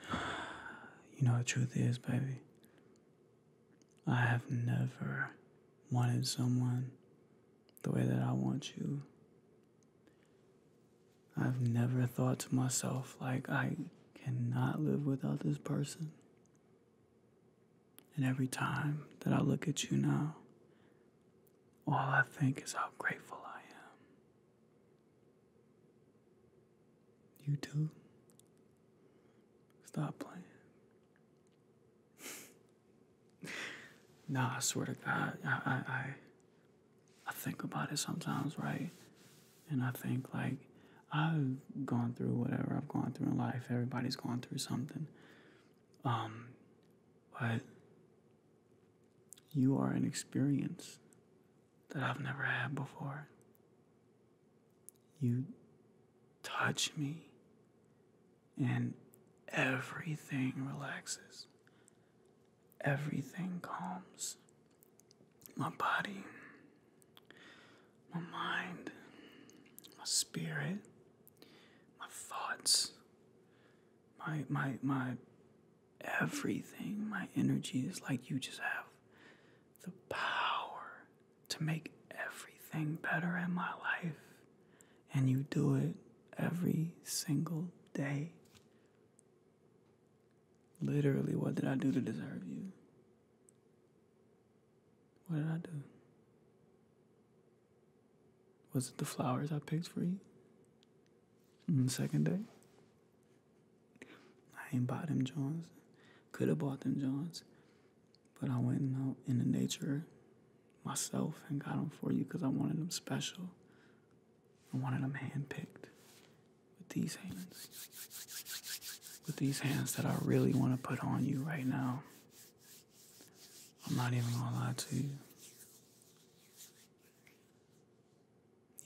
You know, the truth is, baby, I have never wanted someone the way that I want you. I've never thought to myself, like, I cannot live without this person. And every time that I look at you now, all I think is how grateful I am. You too? Stop playing. nah, I swear to God, I, I, I, think about it sometimes, right? And I think like I've gone through whatever I've gone through in life. Everybody's gone through something. Um, but you are an experience that I've never had before. You touch me, and everything relaxes, everything calms. My body, my mind, my spirit, my thoughts, my, my, my everything. My energy is like you just have the power to make everything better in my life. And you do it every single day. Literally, what did I do to deserve you? What did I do? Was it the flowers I picked for you? And second day, I ain't bought them Johns. Could have bought them Johns, but I went out in the nature myself and got them for you because I wanted them special. I wanted them handpicked with these hands, with these hands that I really want to put on you right now. I'm not even gonna lie to you.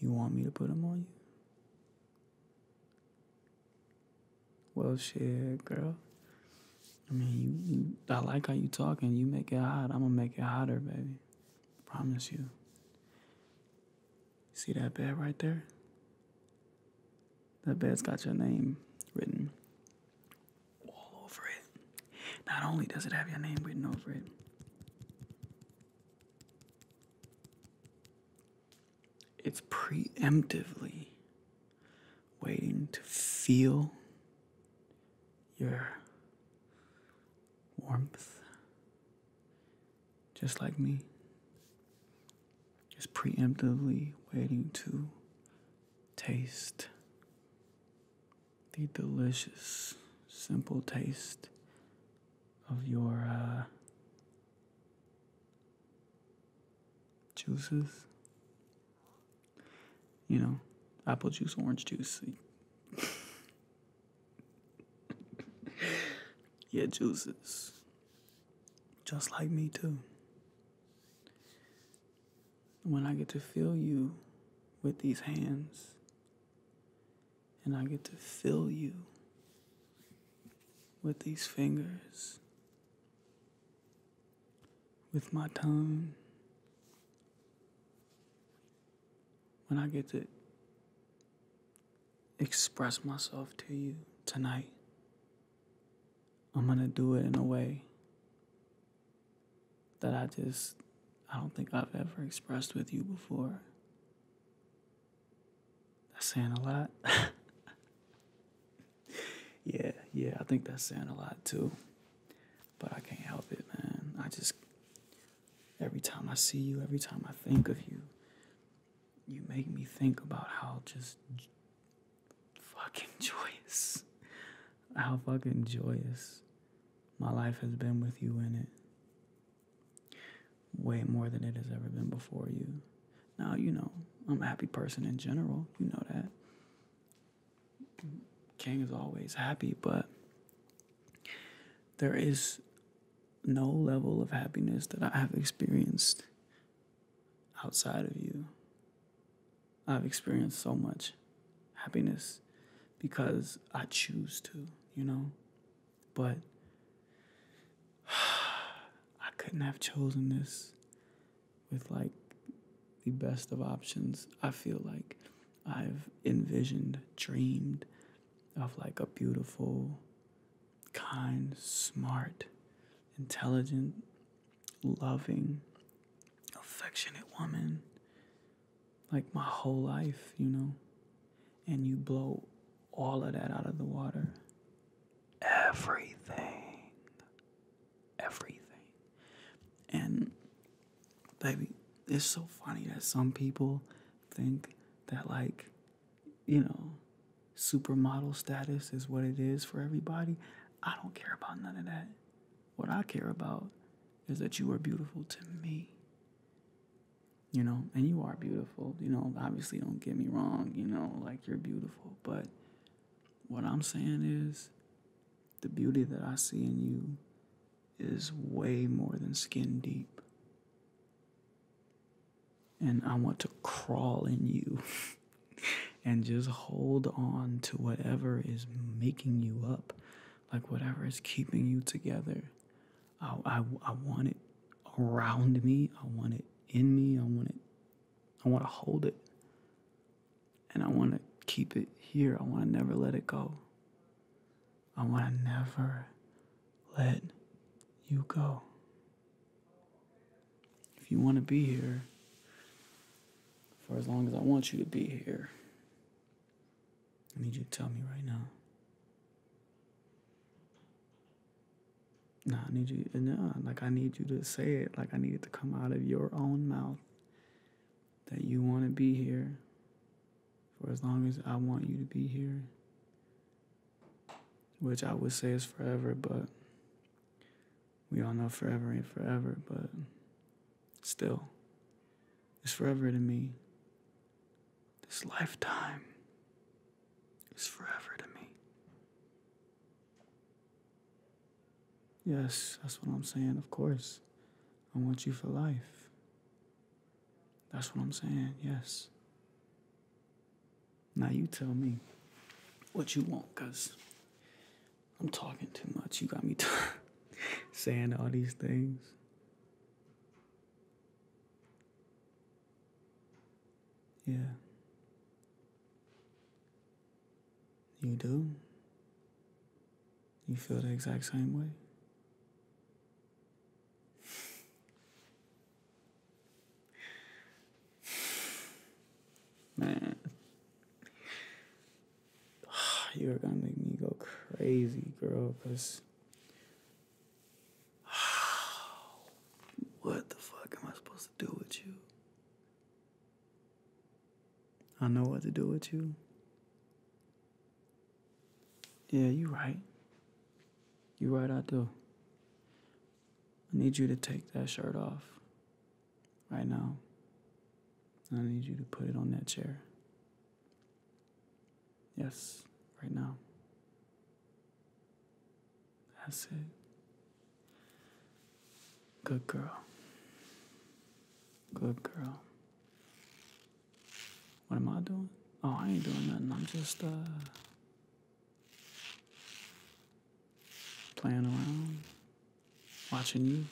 You want me to put them on you? Well, shit, girl. I mean, you, I like how you talking. You make it hot. I'm gonna make it hotter, baby. Promise you. See that bed right there? That bed's got your name written all over it. Not only does it have your name written over it, it's preemptively waiting to feel your warmth, just like me. Just preemptively waiting to taste the delicious, simple taste of your uh, juices. You know, apple juice, orange juice. yeah, juices. Just like me, too. When I get to feel you with these hands, and I get to fill you with these fingers, with my tongue. When I get to express myself to you tonight, I'm going to do it in a way that I just, I don't think I've ever expressed with you before. That's saying a lot. yeah, yeah, I think that's saying a lot too. But I can't help it, man. I just, every time I see you, every time I think of you, you make me think about how just fucking joyous, how fucking joyous my life has been with you in it way more than it has ever been before you. Now, you know, I'm a happy person in general, you know that. King is always happy, but there is no level of happiness that I have experienced outside of you. I've experienced so much happiness because I choose to, you know? But I couldn't have chosen this with like the best of options. I feel like I've envisioned, dreamed of like a beautiful, kind, smart, intelligent, loving, affectionate woman like my whole life, you know, and you blow all of that out of the water. Everything. Everything. And, baby, it's so funny that some people think that, like, you know, supermodel status is what it is for everybody. I don't care about none of that. What I care about is that you are beautiful to me you know, and you are beautiful, you know, obviously don't get me wrong, you know, like you're beautiful, but what I'm saying is the beauty that I see in you is way more than skin deep. And I want to crawl in you and just hold on to whatever is making you up, like whatever is keeping you together. I, I, want it around me. I want it in me. I want it. I want to hold it. And I want to keep it here. I want to never let it go. I want to never let you go. If you want to be here for as long as I want you to be here, I need you to tell me right now. No, I need you. No, uh, like I need you to say it. Like I need it to come out of your own mouth that you want to be here for as long as I want you to be here. Which I would say is forever, but we all know forever ain't forever, but still, it's forever to me. This lifetime is forever to me. Yes, that's what I'm saying, of course. I want you for life. That's what I'm saying, yes. Now you tell me what you want, cause I'm talking too much. You got me saying all these things. Yeah. You do? You feel the exact same way? Man. You're gonna make me go crazy, girl, because what the fuck am I supposed to do with you? I know what to do with you. Yeah, you right. You right, I do. I need you to take that shirt off right now. I need you to put it on that chair. Yes, right now. That's it. Good girl. Good girl. What am I doing? Oh, I ain't doing nothing. I'm just, uh, playing around, watching you.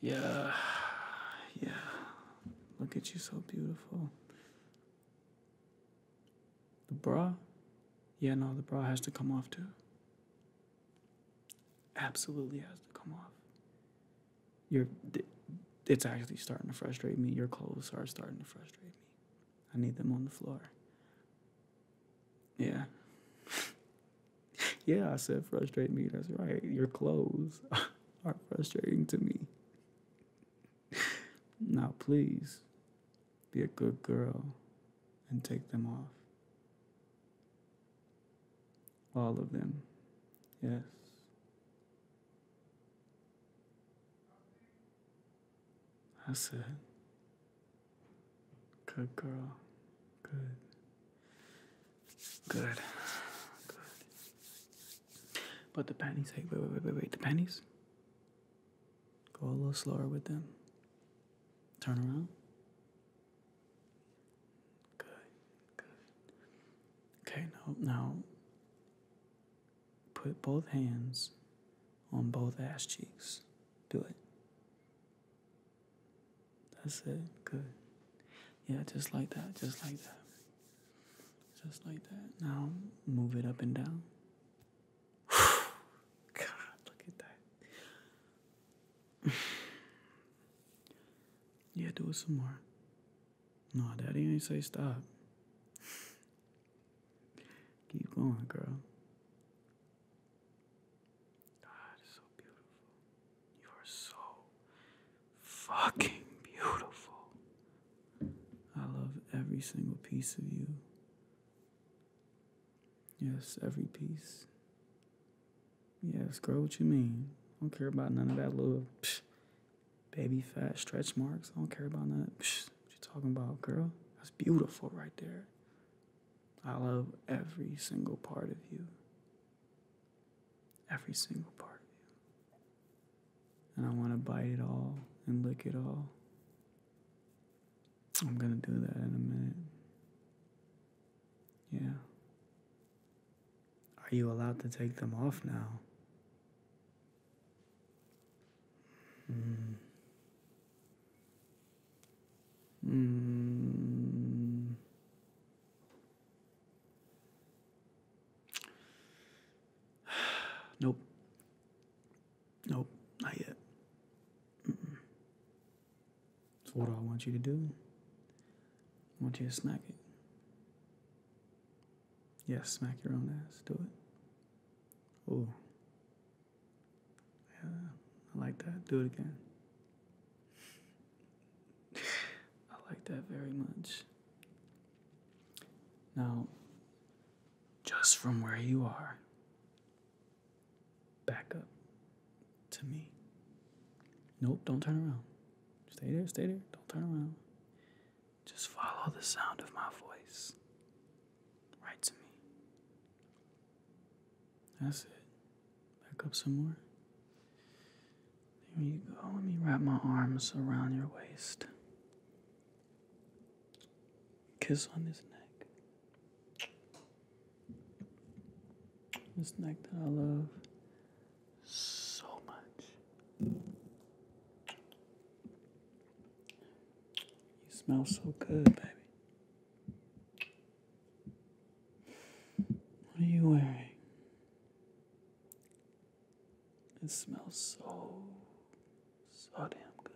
Yeah. Yeah. Look at you so beautiful. The bra? Yeah, no, the bra has to come off too. Absolutely has to come off. You're it's actually starting to frustrate me. Your clothes are starting to frustrate me. I need them on the floor. Yeah. yeah, I said frustrate me. That's right. Your clothes are frustrating to me. now, please be a good girl and take them off. All of them. Yes. I said, Good girl. Good. Good. Good. But the pennies, wait, wait, wait, wait, wait. The pennies. Go a little slower with them. Turn around. Good. Good. Okay, now, now put both hands on both ass cheeks. Do it. That's it. Good. Yeah, just like that. Just like that. Just like that. Now move it up and down. God, look at that. yeah, do it some more. No, daddy ain't say stop. Keep going, girl. God so beautiful. You are so fucking beautiful. I love every single piece of you. Yes, every piece. Yes, girl, what you mean? I don't care about none of that little baby fat stretch marks. I don't care about none. what you talking about, girl? That's beautiful right there. I love every single part of you. Every single part of you. And I want to bite it all and lick it all. I'm going to do that in a minute. Yeah. Are you allowed to take them off now? Mm. Mm. nope. Nope, not yet. Mm what do I want you to do? I want you to smack it. Yes, smack your own ass. Do it. Oh, yeah, I like that. Do it again. I like that very much. Now, just from where you are, back up to me. Nope, don't turn around. Stay there, stay there, don't turn around. Just follow the sound of my voice. Right to me. That's it. Back up some more. There you go. Let me wrap my arms around your waist. Kiss on this neck. This neck that I love so much. You smell so good, baby. What are you wearing? It smells so, so damn good.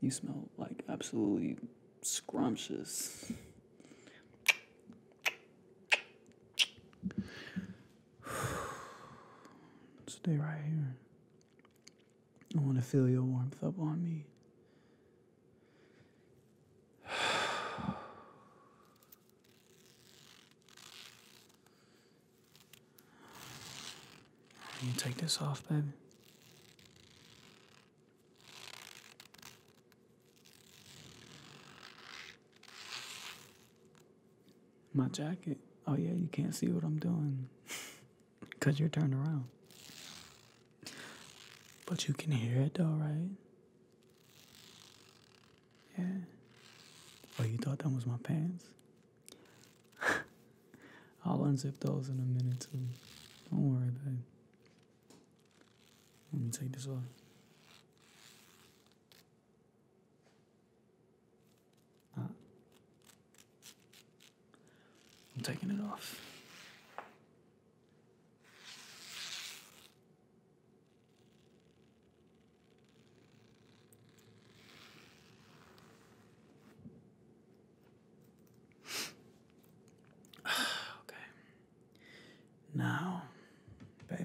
You smell like absolutely scrumptious. Stay right here. I want to feel your warmth up on me. Can you take this off, baby? My jacket. Oh, yeah, you can't see what I'm doing because you're turned around. But you can hear it though, right? Yeah. Oh, you thought that was my pants? I'll unzip those in a minute too. Don't worry, babe. Let me take this off. Ah. I'm taking it off. okay. Now, baby.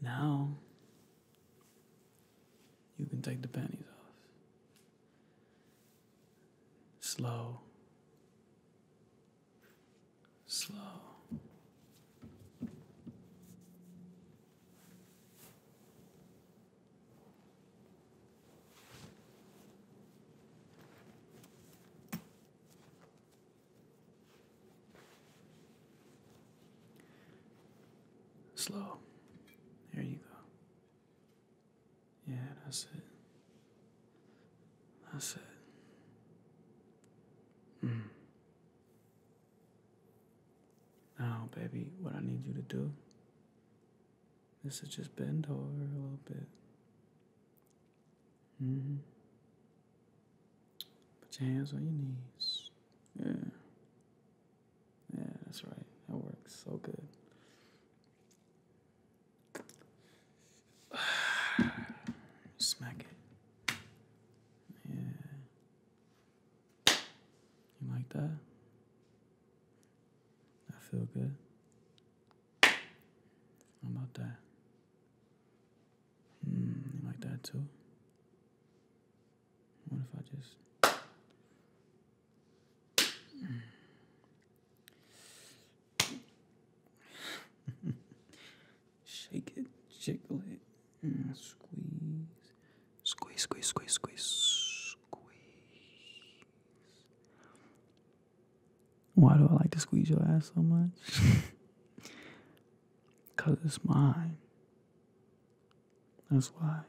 Now you can take the panties off slow, slow. Slow. There you go. Yeah, that's it. That's it. Mm. Now, baby, what I need you to do is just bend over a little bit. Mm-hmm. Put your hands on your knees. Yeah. Yeah, that's right. That works so good. Smack it. Yeah. You like that? I feel good. How about that? Hmm. you like that too? What if I just Shake it, shake it, mm, squeeze. Squeeze, squeeze, squeeze, squeeze, squeeze. Why do I like to squeeze your ass so much? Because it's mine. That's why.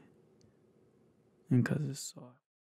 And because it's soft.